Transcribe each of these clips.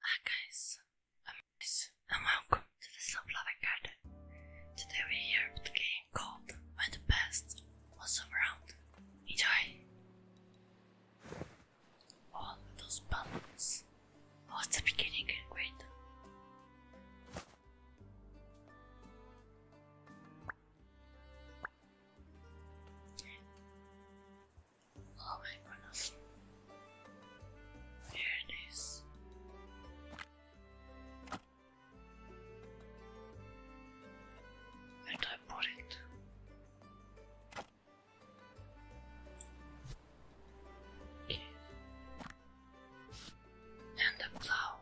Hi guys, I'm Chris and welcome to the Love Slovlovak Garden. Today we're here with a game called When the Past Was Around. Enjoy! All those buttons was the beginning great. Oh my goodness. There it is. And I put it. Okay. And the flower.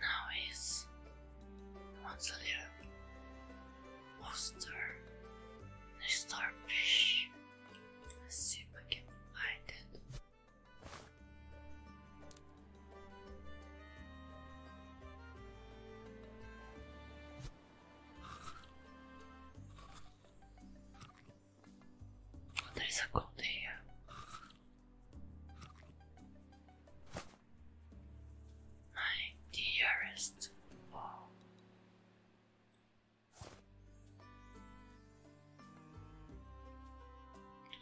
Now is once a little monster, the starfish. Let's see if it. Oh, here my dearest Paul.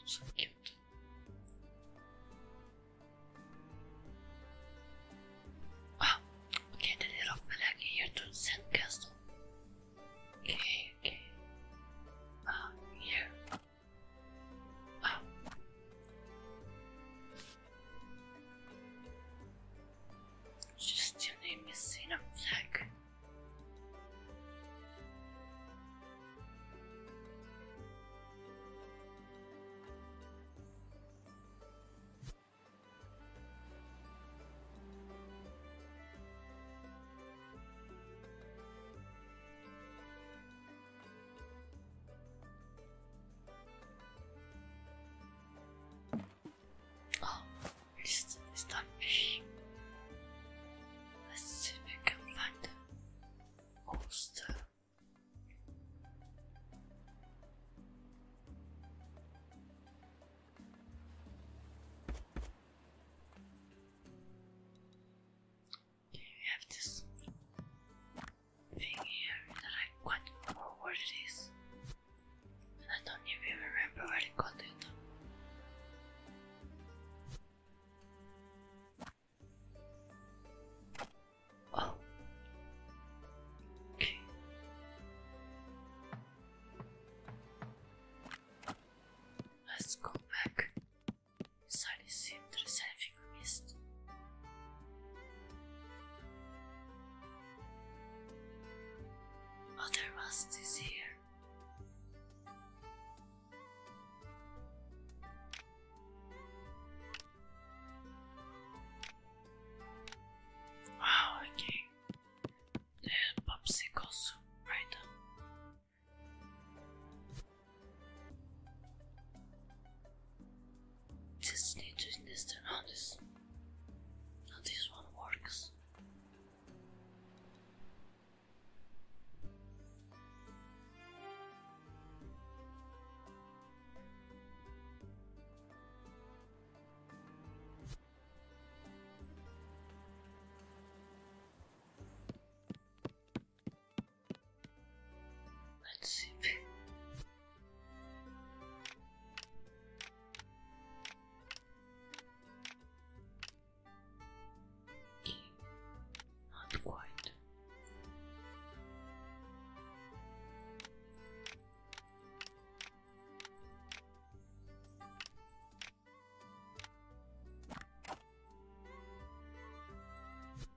so cute. Ah, okay, the little flag here to the sandcastle. Okay, okay. Ah, here. Just didn't name is Zena Flag. Oh, it's, it's that Let's see if we can find the oyster we have this thing here that I quite not know what it is. And I don't even remember where I got it. Oh. Okay. Let's go back Salisi selfie mist. Other rust is here. Wow, okay. They popsicles right just need to invest this. this one works. Let's see. E. Not quite.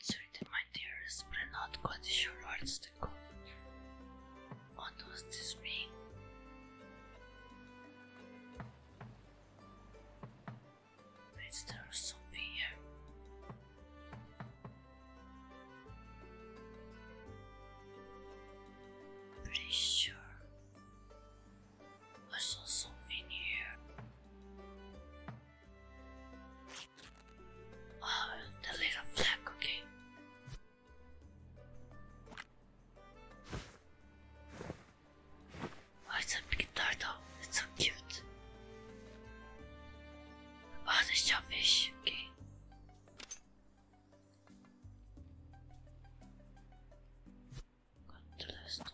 Sorry, my dearest, but I'm not quite sure where to go. What does this mean? Wait, there's Pretty sure I saw something here. Oh, the little flag, okay. It's a big turtle. It's so cute. Oh, the shellfish. Okay. Got the last one.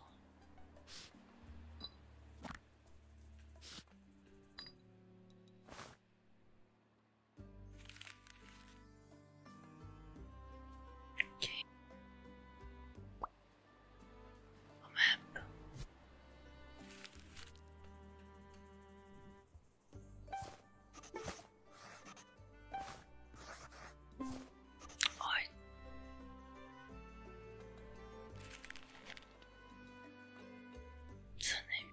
Okay. Oh, oh, a map. I the name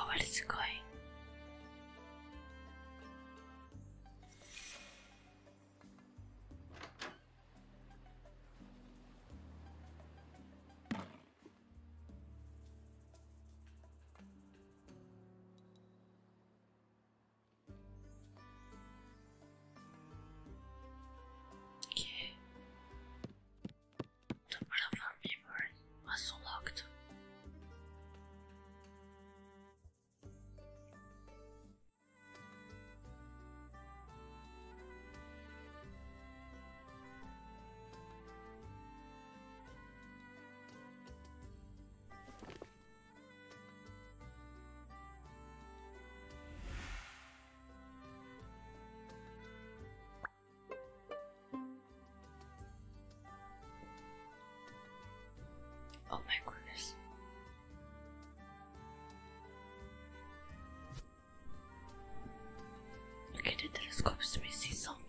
Oh, where is it going? Okay. The platform memory was locked. Oh my goodness. Look at the telescopes to me see something.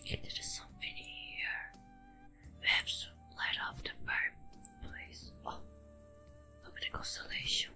Okay, there is something here. We light up the fireplace. Oh, look at the constellation.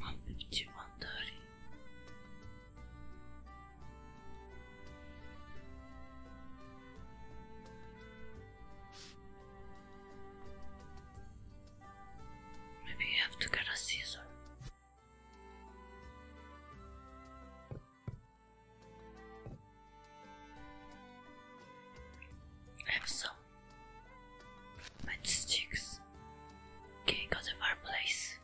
one fifty, one thirty. Maybe you have to get a scissor. I have so Matchsticks. Okay, go to the fireplace.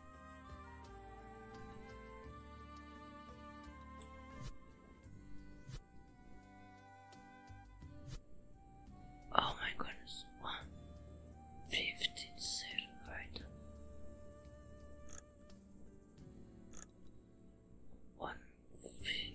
Oh my goodness, one fifteen silver item. One fifteen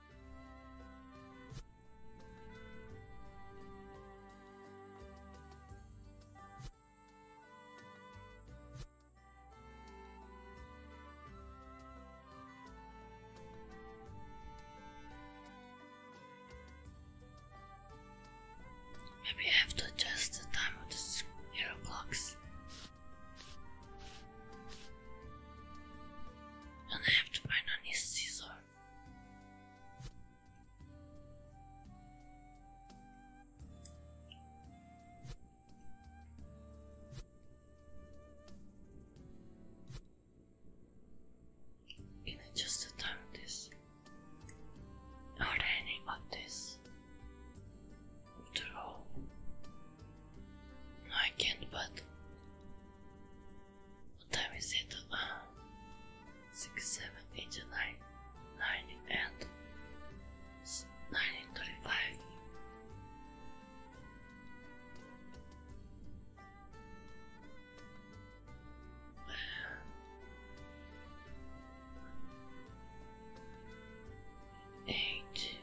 Maybe I have to adjust the time of the hero blocks. And I have to find a new scissor. In I just attempt this? Are any of this? after all. No, I can't, but. What time is it? Uh, 6, 7, 8, 9, 9, and 9.35. Uh, eight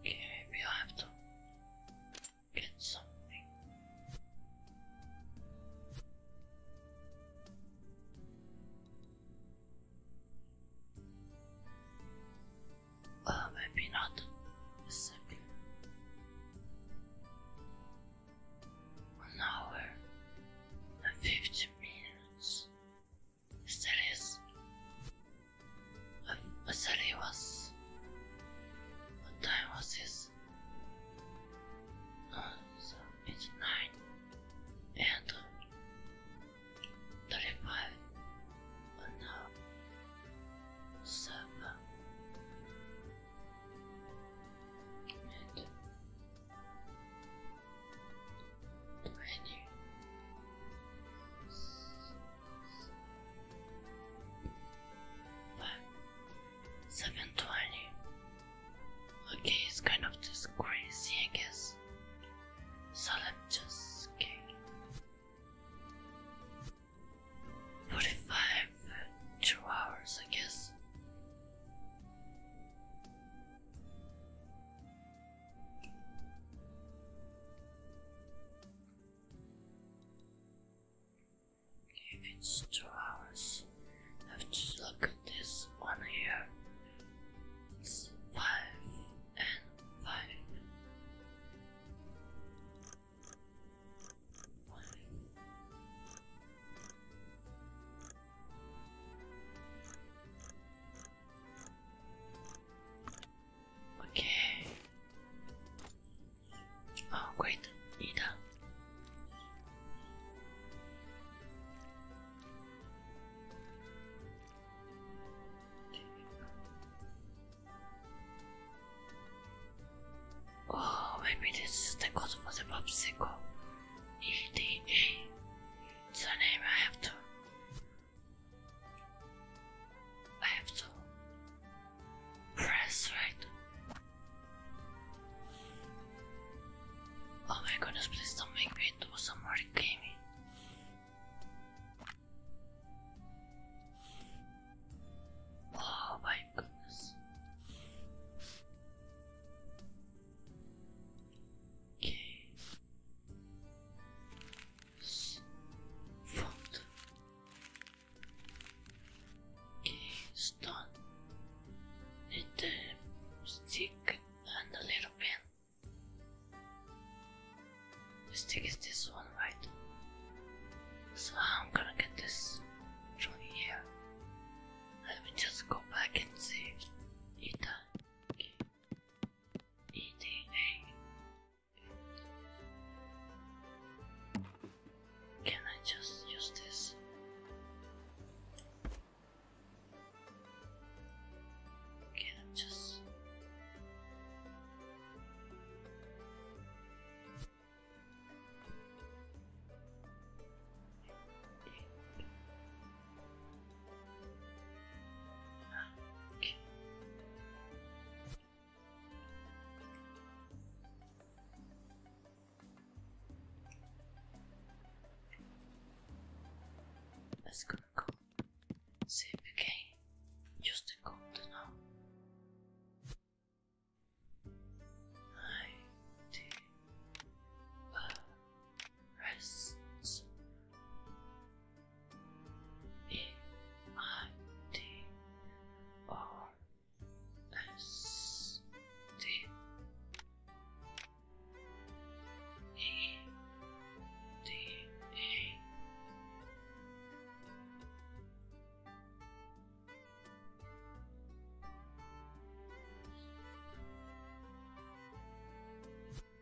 Okay, maybe I have to get something. Uh, maybe not. Simply. An hour and fifty minutes series Vasari was what time was this? No, it's nine and thirty-five but seven and twenty 720. Okay, it's kind of just crazy, I guess. So let's just get 45, two hours, I guess. If it's two hours, let's look at this one here. It's five and five. Five. Okay. Oh, great, Nita. Oh, maybe this is the code for the popsicle. E D A. It's name I have to I have to press right. Oh my goodness, please don't make me do some more gaming. Oh my goodness. Okay. Front. Okay, start. Need the stick and a little pen. The stick is this one, right? So I'm gonna get this from here. Let me just go back and see. Ita. Okay. Can I just use this? Can I just Let's go See if we can use the code now. Ninety uh, rests M I T R S T E D A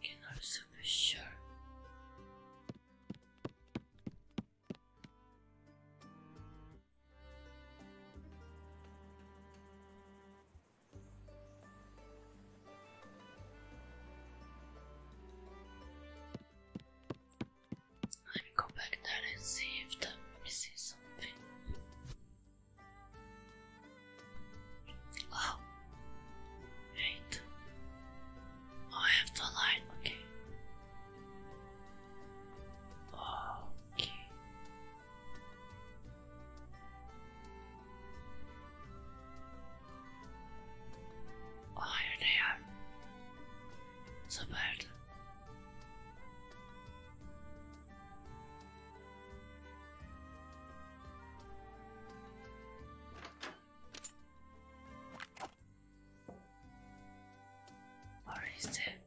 Can also be sure. Let me go back there and see if I'm missing something. Oh, wait. Oh, I have the light. Okay. Okay. Hayır Süperdi. Or is it?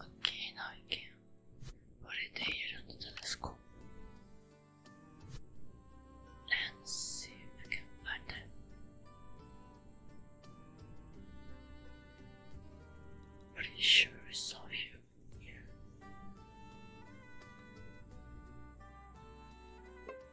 Okay, now I can put it here on the see if we can find it. Pretty sure I saw you here.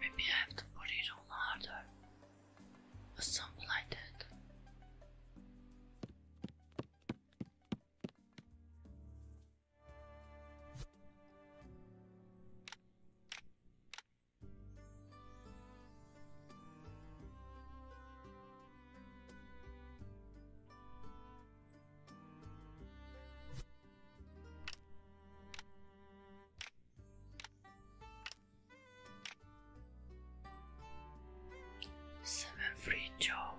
Maybe I have to put it on harder or something like that. Seven free job.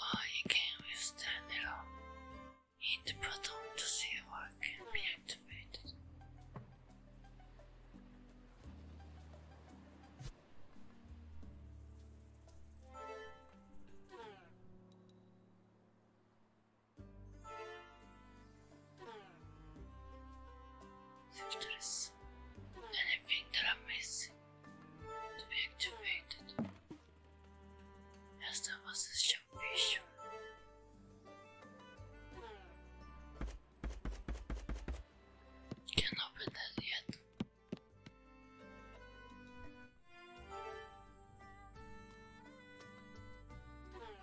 I can withstand alone. Hit button to see what can be activated. Victories. Anything that I miss to hmm. be activated. As there was can open that yet. Hmm.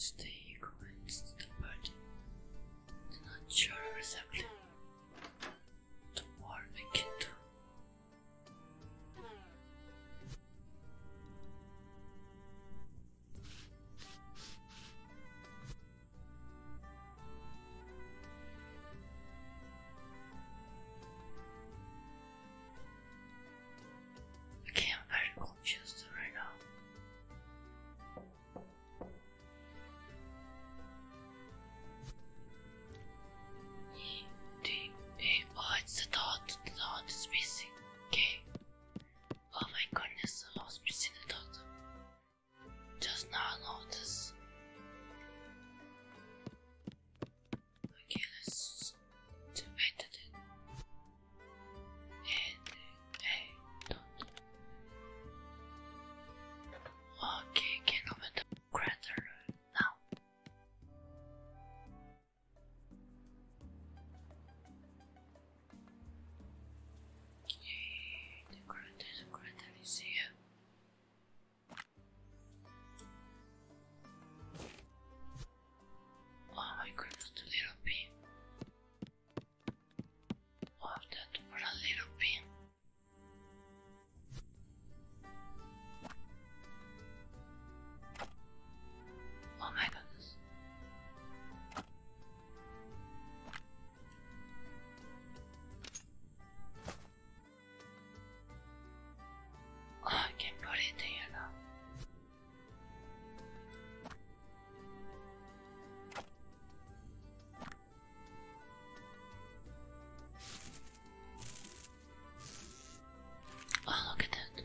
It's the equivalent to the party. I'm the more I can do. Okay, I'm very confused right now. Oh, it's the dot. The dot is missing. Okay. Oh my goodness, I lost me see the doctor. Just now noticed. Okay, let's wait it. Okay, can open the crater now. Yay, the grand is a Oh my goodness, the little bee. All of that for a little bee. Oh my goodness. Oh, I can put it here Oh, look at that.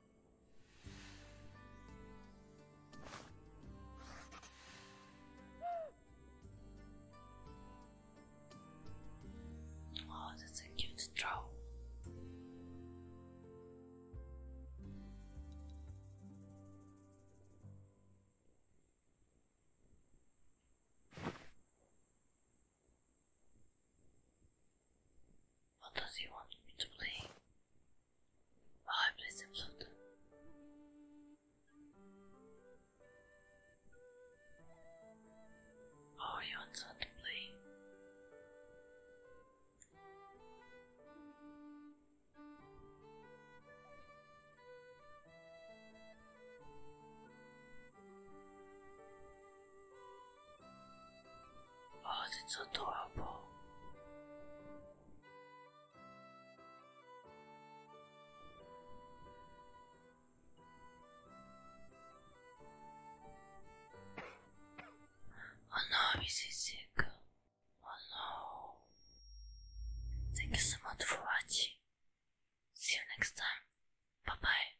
Oh, that's a cute troll. What does he want me to play? I play the Oh, he wants to play. Oh, that's adorable. Oh no, is he sick? Oh no. Thank you so much for watching. See you next time. Bye bye.